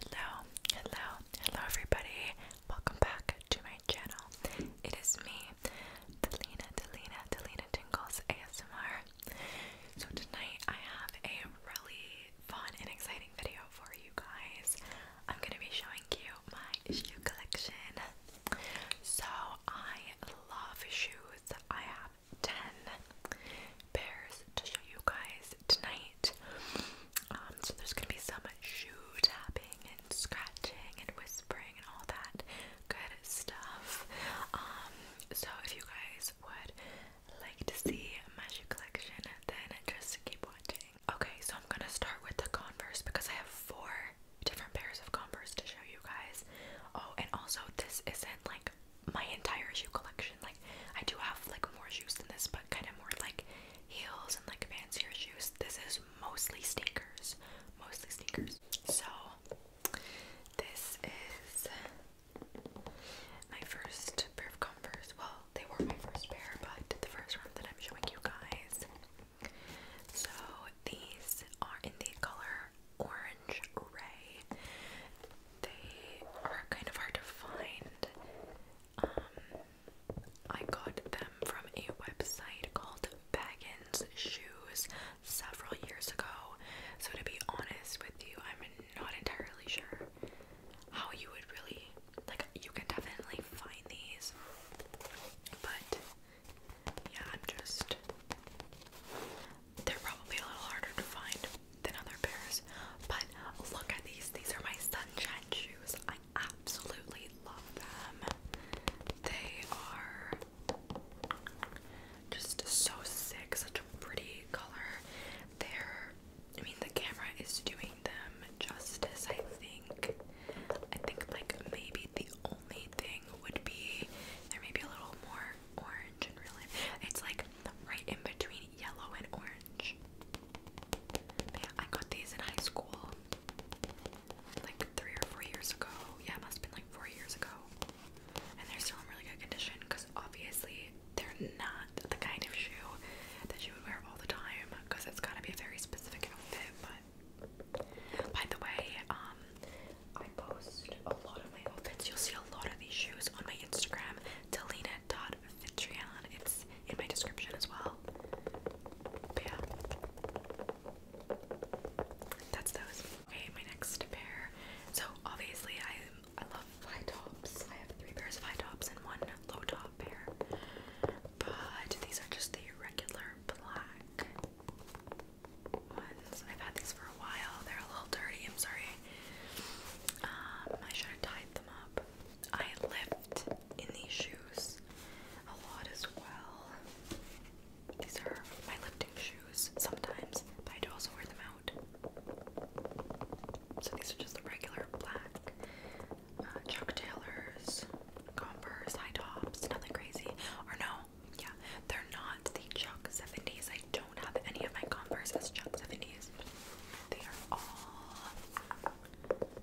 Hello, hello, hello everybody. Welcome back to my channel. It is me, Delina, Delina, Delina Tingles ASMR. So tonight I have a really fun and exciting video for you guys. I'm going to be showing you my shoe collection. So I love shoes. I have 10 pairs to show you guys tonight. Um, so there's gonna be some shoe tapping and scratching and whispering and all that good stuff. Um, so if you guys would like to see my shoe collection, then just keep watching. Okay, so I'm gonna start with the Converse because I have four different pairs of Converse to show you guys. Oh, and also this isn't like my entire shoe collection. like. I do have like more shoes than this, but kind of more like heels and like fancier shoes. This is mostly sneakers, mostly sneakers. So this is my first pair of Converse. Well, they were my first pair, but the first one that I'm showing you guys. So these are in the color orange ray. They are kind of hard to find. Um, I got them from a website called Baggins Shoes several years ago. So, to be honest with you, I'm not entirely sure how you would really like, you can definitely find these, but yeah, I'm just they're probably a little harder to find than other pairs. But look at these. These are my sunshine shoes. I absolutely love them. They are just so sick. Such a pretty color. They're, I mean, the camera is doing them justice, I think. I think, like, maybe the only thing would be there may be a little more orange and really. It's like right in between yellow and orange. yeah, I got these in high school like three or four years ago. Yeah, must been like four years ago. And they're still in really good condition because obviously they're not the kind of shoe that you would wear all the time because it's got to be a very specific outfit. But by the way, um, I post a lot of my outfits. You'll see a lot of these shoes on my Instagram. Delina Todd Vitrion. It's in my description as well. yeah. That's those. Okay, my next pair. So obviously I I love high tops. I have three pairs of high tops and one low top pair. But these are just the regular black ones. I've had these for a while. They're a little dirty, I'm sorry. Um, I should have tied them up. I lift in these shoes a lot as well. These are my lifting shoes sometimes, I do also wear them out. So these are just the regular black uh, Chuck Taylors, Converse, high tops, nothing crazy. Or no, yeah, they're not the Chuck 70s. I don't have any of my Converse as Chuck 70s. They are all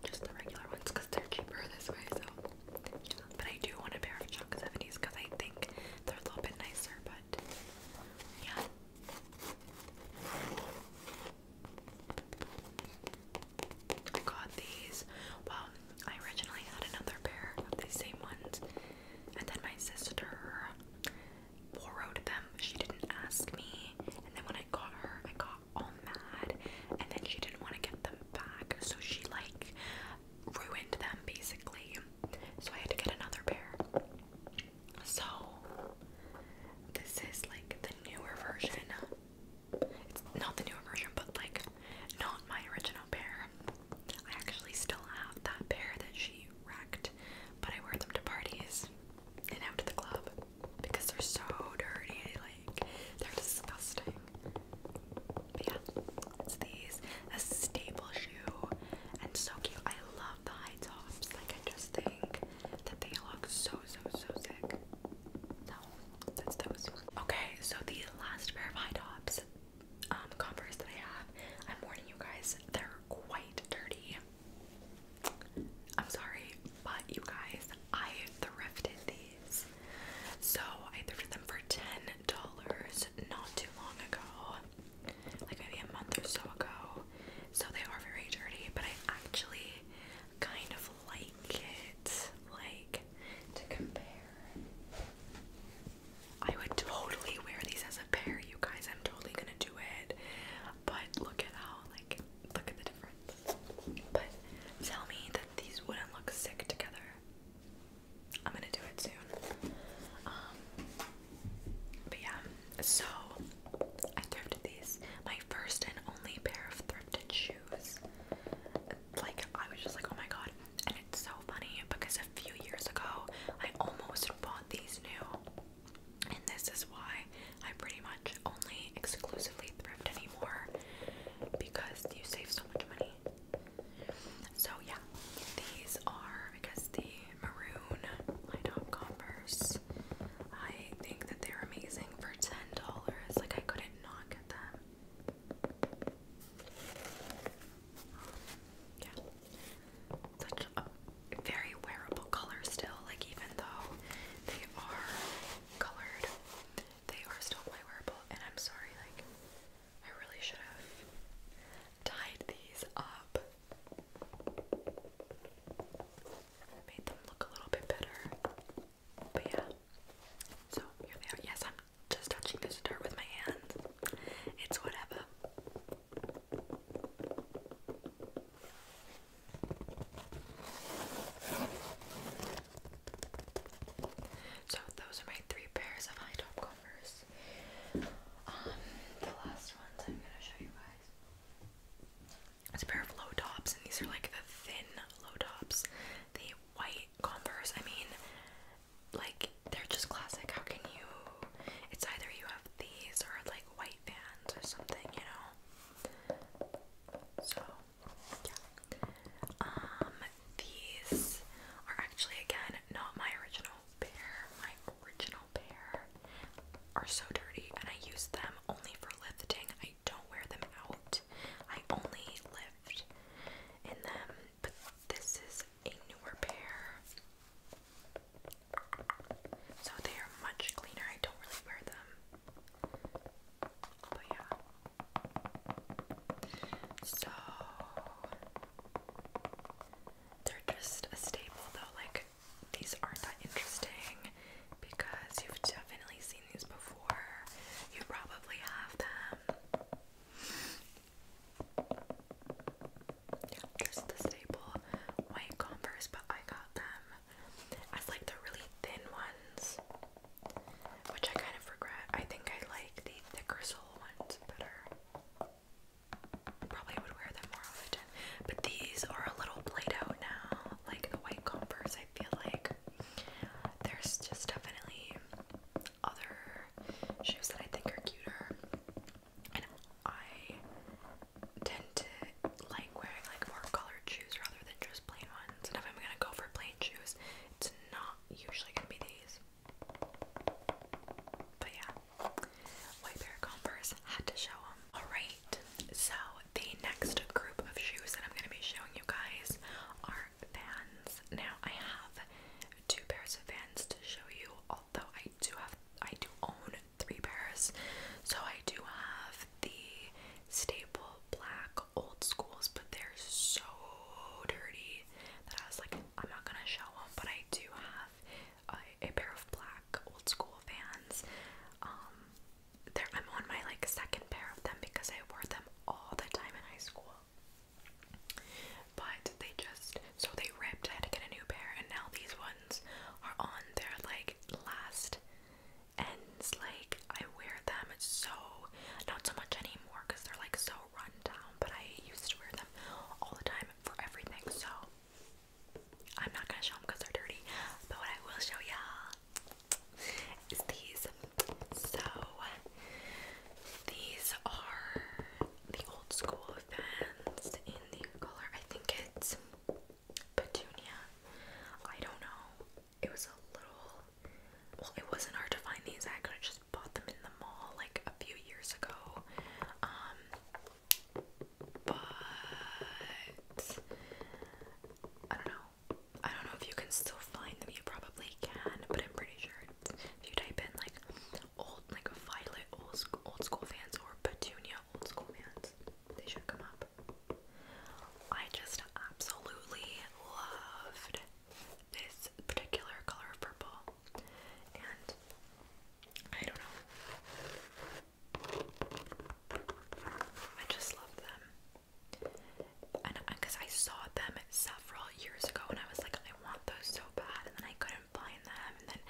just the regular ones because they're cheaper this way. So, but I do want a pair of Chuck 70s because I think they're a little bit nicer. But yeah. I got these. Well, I originally had another pair of these same ones, and then my sister borrowed them. She didn't ask me. And then when I got her, I got all mad. And then she didn't want to get them back. So she like ruined them basically. So I had to get another pair. So this is like the newer version. It's not the newer version, but like not my original pair. I actually still have that pair that she wrecked but I wear them to parties and out to the club because they're so dirty. Like they're disgusting. yeah, it's these a staple shoe and so cute. I love the high tops. Like I just think that they look so so so sick. No, that's those. Okay, so the last pair of high tops, um, Converse that I have. I'm warning you guys, they're quite dirty. I'm sorry, but you guys, I thrifted these. So I thrifted them for $10 not too long ago, like maybe a month or so ago. So they are very dirty, but I actually kind of like it. Like, to compare, I would totally wear these as a pair, you guys. I'm totally gonna do it. But look at how look at the difference. But tell me that these wouldn't look sick together. I'm gonna do it soon. Um, but yeah, so I thrifted these. My first and only pair of thrifted shoes. Like I was just like, oh my god. And it's so funny because a few years ago I almost bought these new and this is why I pretty much only exclusively thrift anymore because you save so much money. So, yeah, these are, I the maroon light up Converse. I think that they're amazing for $10. Like, I couldn't not get them. yeah such a very wearable color still. Like even though they are colored, they are still quite wearable. And I'm sorry, like I really should have tied these up. Made them look a little bit better. But yeah. So here they are. Yes, I'm just touching this dirt with my hands. It's whatever. So those are my three pairs of high top Converse. Um, the last ones I'm gonna show you guys. It's a pair of low tops, and these are like the thin low tops. The white Converse. I mean, like they're just classic. How can you? It's either you have these or like white or something, you know. So yeah. Um these are actually again not my original pair. My original pair are so dirty and I use them only for lifting. I don't wear them out. I only lift in them. But this is a newer pair. So they are much cleaner. I don't really wear them. But yeah. So they're just a staple though. Like these aren't that interesting because you've definitely seen these before. You probably have them just the staple white Converse, but I got them as like the really thin ones, which I kind of regret. I think I like the thicker sole ones better. Probably would wear them more often, but these are a little played out now. Like the white Converse, I feel like there's just definitely other shoes that I think are cuter, and I tend to like wearing like more colored shoes rather than just plain ones. And if I'm gonna go for plain shoes, it's not usually gonna be these. But yeah, white pair of Converse had to show them. All right, so the next group of shoes that I'm gonna be showing you guys are Vans. Now I have two pairs of Vans to show you, although I do have I do own three pairs. So I do have the staple black old schools, but they're so dirty that I was like, I'm not gonna show them. But I do have a, pair of black old school Vans. Um, they're, I'm on my like second pair of them because I wore them all the time in high school. But they just so they ripped. I had to get a new pair, and now these ones are on their like last ends. Like I wear them so not so much anymore because they're like so run down, but I used to wear them all the time for everything. So I'm not gonna show them because they're dirty. But what I will show y'all is these. So these are the old school fans in the color. I think it's Petunia. I don't know. It was a little. Well, it wasn't hard to find these. I could have just bought them in the mall like a few years ago. Um, but I don't know. I don't know if you can still find them. You probably can, but I'm pretty sure if you type in like old, like Violet old, old school fans or Petunia old school fans, they should come up. I just absolutely loved this particular color of purple, and I don't know, I just love them. And because I saw them several years ago, and I was like, I want those so bad, and then I couldn't find them, and then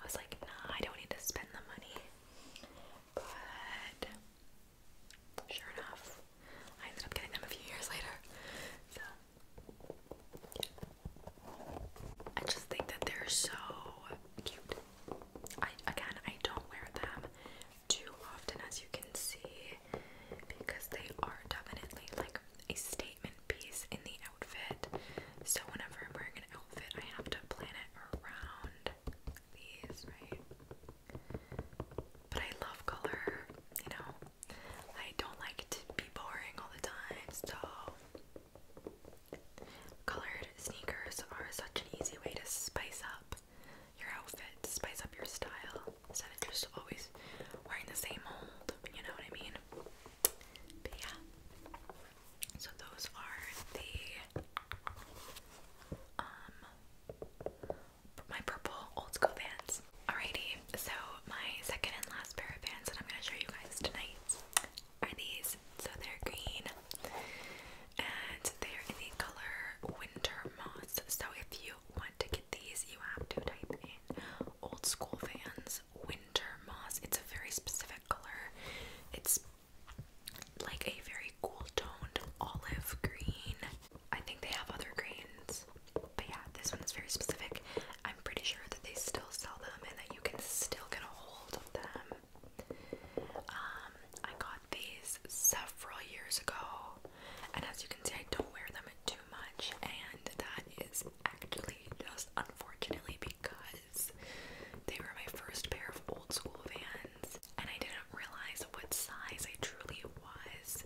I was like, Nah, I don't need to spend the money. But sure enough, I ended up getting them a few years later. So I just think that they're so cute. I again I don't wear them too often as you can see because they are definitely like a statement piece in the outfit. So whenever I'm wearing an outfit I have to plan around these, right? But I love color, you know. I don't like to be boring all the time, so colored sneakers are such an easy way to spice up your outfit, spice up your style, instead of just always wearing the same mold, you know what I mean? But yeah. So those are the um my purple old school Vans. Alrighty, so my second and last pair of Vans that I'm gonna show you guys tonight are these. So they're green and they're in the color winter moss. So if you want to get these, you have to type in old school Vans winter moss. It's a very specific color. It's like a very cool toned olive green. I think they have other greens, but yeah, this one is very specific. I'm pretty sure that they still sell them and that you can still get a hold of them. Um, I got these several years ago, and as you can see, I don't wear them too much, and that is actually just unfortunately because because they were my first pair of old school vans and I didn't realize what size I truly was.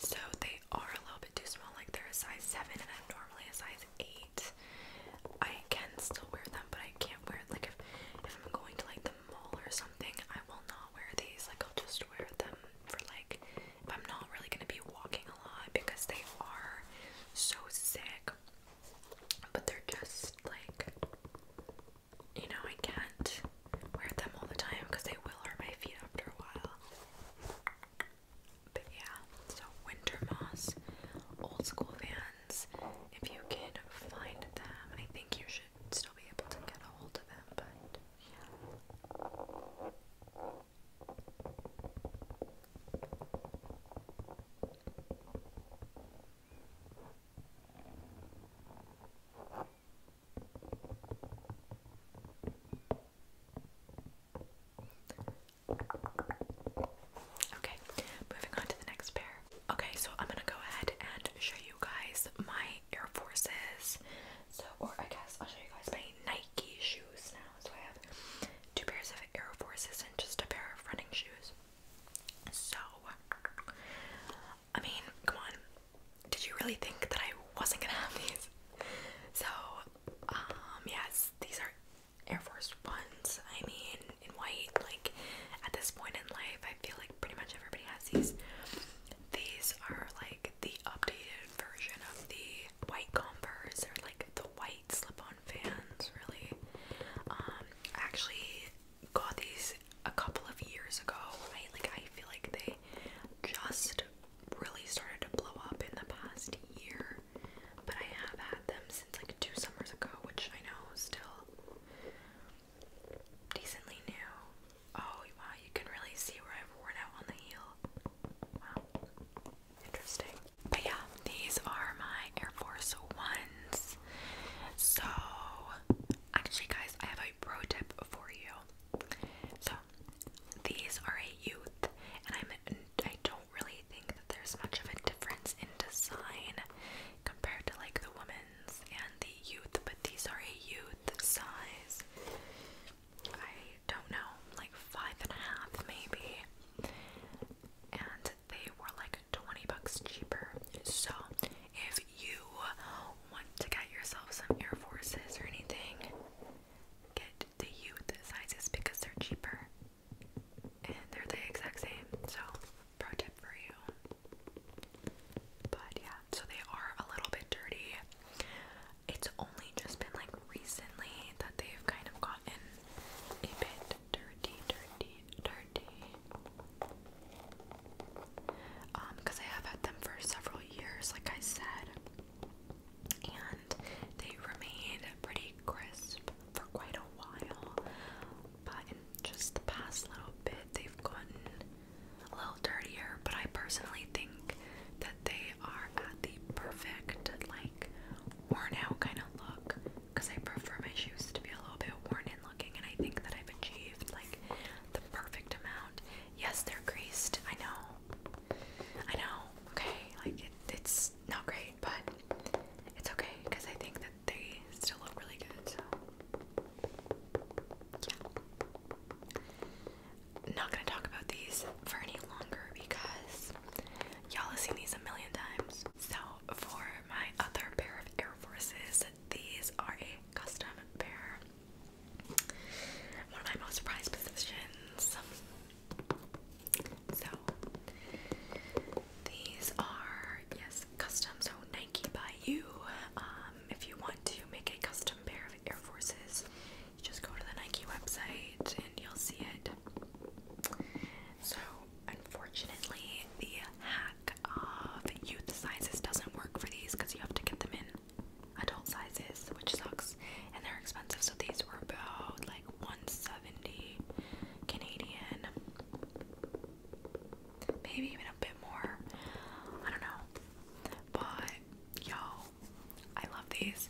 So they are a little bit too small, like they're a size 7 and I'm normally a size 8. I can still wear them, but I can't wear like if if I'm going to like the mall or something, I will not wear these. Like I'll just wear them for like if I'm not really gonna be walking a lot because they are so sick but they're just like, you know, I can't wear them all the time because they will hurt my feet after a while. But yeah, so Winter Moss, old school vans. If you can find them, I think you should still be able to get a hold of them, but yeah. Okay, moving on to the next pair. Okay, so I'm gonna go ahead and show you guys my Air Forces. So, or I guess I'll show you guys my Nike shoes now. So I have two pairs of Air Forces and just a pair of running shoes. So, I mean, come on. Did you really think that I wasn't gonna have these? So, um, yes, these are Air Force Ones. I mean, in white, like at this point in life, I feel like pretty much everybody has these. These are like the updated version of the white Converse, They're like the white slip on fans, really. Um, I actually got these a couple of years ago. Right? Like I feel like they just really started to blow up in the past year. But I have had them since like two summers ago, which I know still decently new. Oh wow, you can really see where I've worn out on the heel. Wow. Interesting. But yeah, these are my Air Force Ones. So, actually, guys, I have a pro tip for you. So, these are a youth, and I'm I don't really think that there's much of a difference in design compared to like the women's and the youth, but these are a youth size. I don't know, like five and a half maybe. And they were like 20 bucks cheaper. So if you want to get yourself some Air Forces or anything, get the youth sizes because they're cheaper and they're the exact same. So, pro tip for you. But yeah, so they are a little bit dirty. It's only just been like recently that they've kind of gotten a bit dirty, dirty, dirty. Um, because I have had them for several years, like I said, and they remained pretty crisp for quite a while. But in just the past little bit, they've gotten a little dirtier. But I personally think that they are at the perfect, like, worn out kind of look because I prefer my shoes to be a little bit worn in looking, and I think that I've achieved like the perfect amount. Yes, they're creased. I know. I know. Okay, like it's not great, but it's okay because I think that they still look really good. So yeah, not gonna talk about these for any longer because y'all have seen these a million times. Force. So for my other pair of Air Forces, these are a custom pair. One of my most prized possessions. So these are yes, custom. So Nike by you. Um, if you want to make a custom pair of Air Forces, you just go to the Nike website and you'll see it. So, unfortunately, the hack of youth sizes doesn't work for these because you have to get them in adult sizes, which sucks, and they're expensive. So these were about like 170 Canadian, maybe even a bit more. I don't know, but you I love these.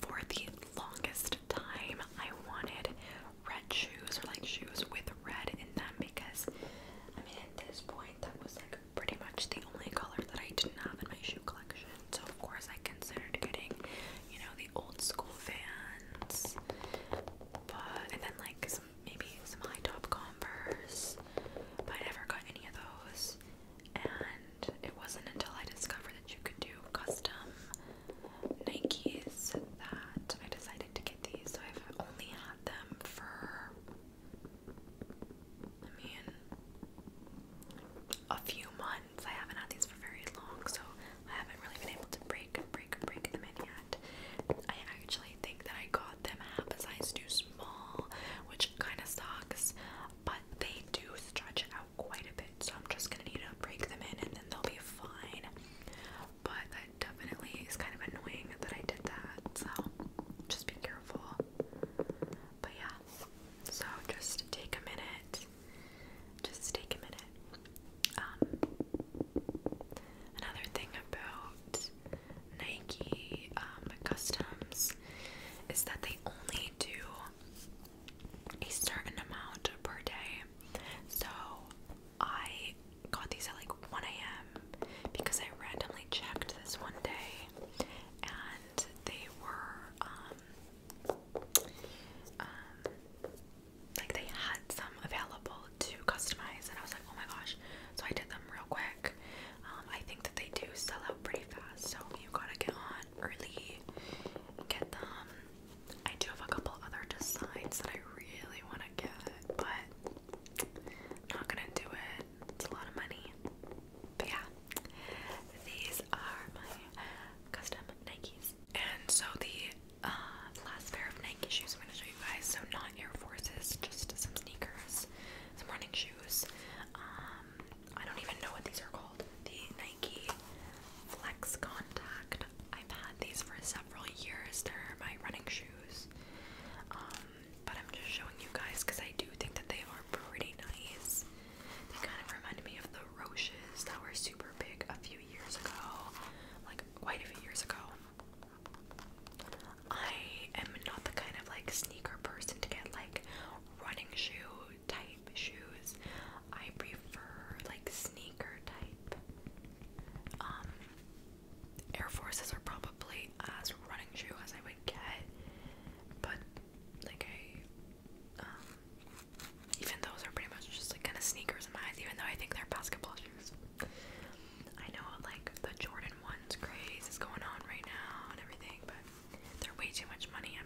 For the longest time, I wanted red shoes or like shoes with red in them because I mean at this point that was like pretty much the only color that I didn't have in my shoe collection. So of course I considered getting, you know, the old school Vans, but and then like some maybe some high top Converse, but I never got any of those. And it wasn't until I discovered that you could do custom Nikes that I decided to get these. So I've only had them for, I mean, a few months. I haven't had these for very long, so I haven't really been able to break, break, break them in yet. I actually think that I got them half a size too small, which kind of sucks, but they do stretch out quite a bit, so I'm just gonna need to break them in and then they'll be fine. But that definitely is kind of annoying that I did that, so just be careful. But yeah, so just take a minute. Just take a minute. Um, another thing about Nike um, customs is that they only do a certain amount per day. So I got these at like 1 a.m. because I randomly checked this one day and they were um um like they had some available to customize and I was like oh my gosh so I did them real quick um I think that they do sell out pretty fast so you gotta get on early get them I do have a couple other designs that I really want to get, but I'm not gonna do it. It's a lot of money. But yeah, these are my custom Nikes. And so the uh, last pair of Nike shoes I'm gonna show you guys. So not Air Forces, just some sneakers, some running shoes. Um, I don't even know what these are called. The Nike Flex Contact I've had these for several years. They're my running shoes. Um, but I'm just showing you guys because I do think that they are pretty nice. They kind of remind me of the Roshes that were super big a few years ago. Like quite a few years ago. I am not the kind of like sneaker person to get like running shoe type shoes. I prefer like sneaker type. Um, Air Forces are probably as running shoe as I would get, but like I, um, even those are pretty much just like kind of sneakers in my eyes, even though I think they're basketball shoes. I know like the Jordan ones craze is going on right now and everything, but they're way too much money. i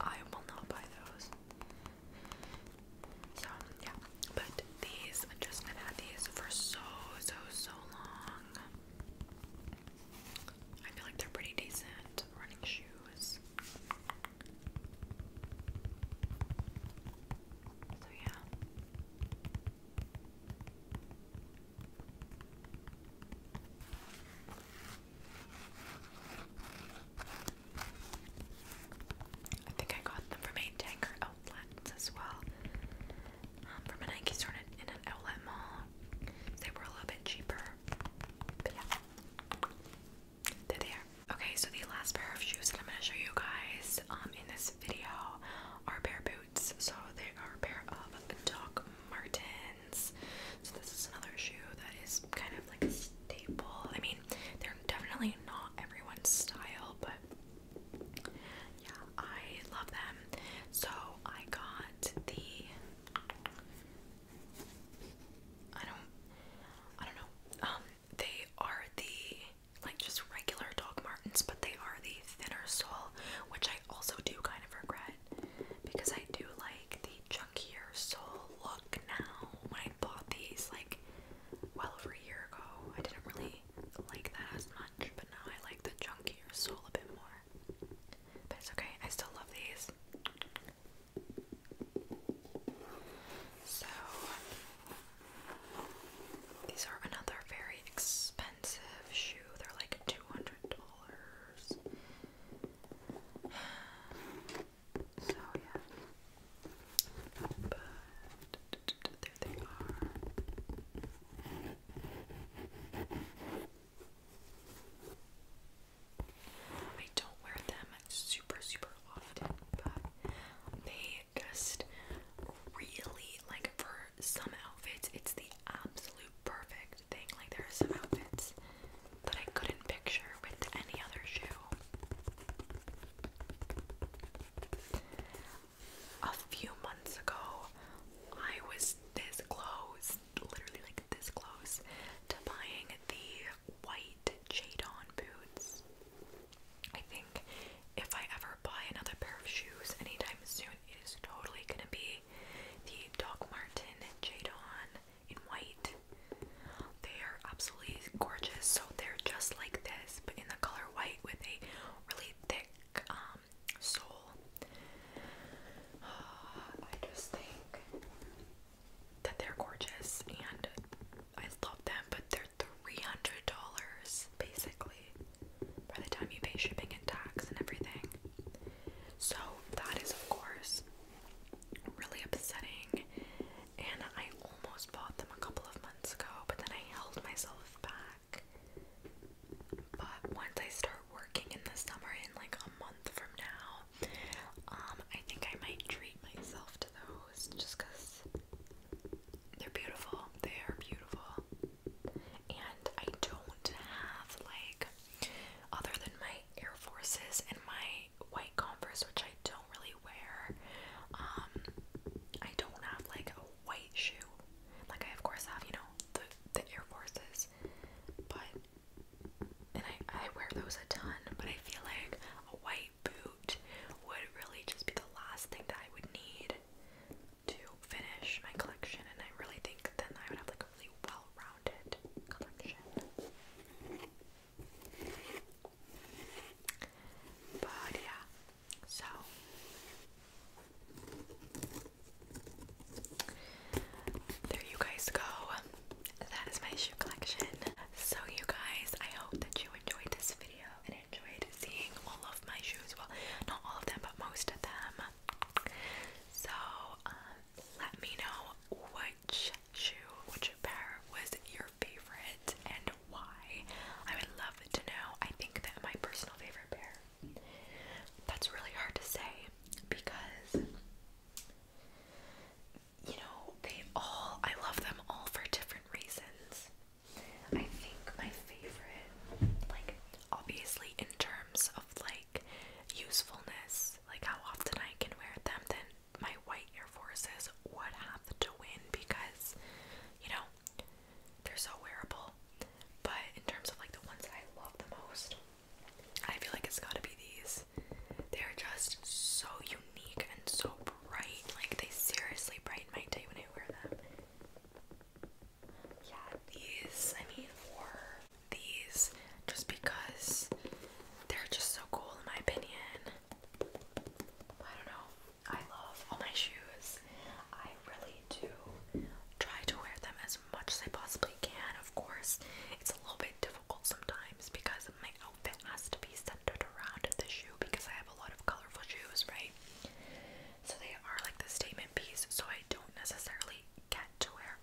I will not buy those. So yeah, but these I just have had these for so so so long. I feel like they're pretty decent running shoes. So yeah. I think I got them from a tanker outlet as well. Um, from a Nike store in, an outlet mall. They were a little bit cheaper. But yeah. They're there. Okay, so the last pair of shoes that I'm gonna show you guys um, in this video are pair boots. So they are a pair of Doc Martens. So this is another shoe that is kind of like a staple. I mean they're definitely not everyone's style, but yeah, I love them. So I got the I don't I don't know. Um they are the like just regular Doc Martens, but they are the thinner sole, which I also do kind of regret because I do like the chunkier sole look now. When I bought these like well over a year ago, I didn't really like that as much, but now I like the chunkier sole a bit more. But it's okay, I still love these. So, these are another very expensive shoe. They're like $200. So yeah. But there they are. I don't wear them super super often, but they just really like for some outfits it's the absolute perfect thing. Like there are some outfits that I couldn't picture with any other shoe. A few months ago, I was this close, literally like this close, to buying the white Jadon boots. I think if I ever buy another pair of shoes anytime soon, it is totally gonna be the Doc Martin Jadon in white. They are absolutely gorgeous. So they're just like this, but in the color white with a really thick um, sole. Uh, I just think that they're gorgeous and I love them, but they're three hundred dollars basically by the time you pay shipping and tax and everything. So that is of course really upsetting and I almost bought them a couple of months ago, but then I held myself back. But once I start working in the summer, in like a month from now, um, I think I might treat myself to those just because they're beautiful. They are beautiful. And I don't have, like, other than my Air Forces and my white Converse, which I don't really wear. Um, I don't have like a white shoe. Like I of course have, you know, the the Air Forces, but and I I wear those a ton. But I feel like a white boot would really just be the last thing that I would need to finish my collection. And I really think then I would have like a really well-rounded collection. But yeah, so there you guys go. That is my shoe collection. So, you guys, I hope that you enjoyed this video and enjoyed seeing all of my shoes. Well, not all of them, but most of them. So, um, let me know which shoe, which pair was your favorite and why? I would love to know. I think that my personal favorite pair. That's really hard to say because you know, they all I love them all for different reasons. I think my favorite like obviously in terms of like usefulness, like how often I can wear them, then my white Air Forces would have to win because, you know, they're so wearable. But in terms of like the ones I love the most, I feel like it's gotta be these. They're just so unique and so bright. Like they seriously brighten my day when I wear them. Yeah, these, I mean, or these, just because they're just so cool in my opinion. I don't know. I love all my shoes. I really do try to wear them as much as I possibly can. Of course, it's a little bit difficult sometimes because my outfit has to be centered around the shoe because I have a lot of colorful shoes, right? So they are like the statement piece, so I don't necessarily get to wear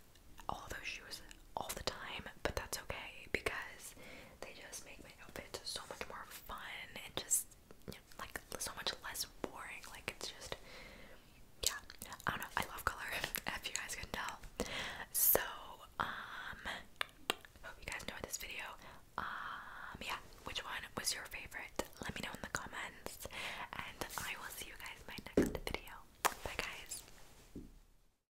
all those shoes all the time, but that's okay because they just make my outfits so much more fun and just like so much less boring. Like it's just yeah, I don't know. I love color, if you guys can tell. So um, hope you guys enjoyed this video. Um, yeah, which one was your favorite? Let me know in the comments, and I will see you guys in my next video. Bye, guys.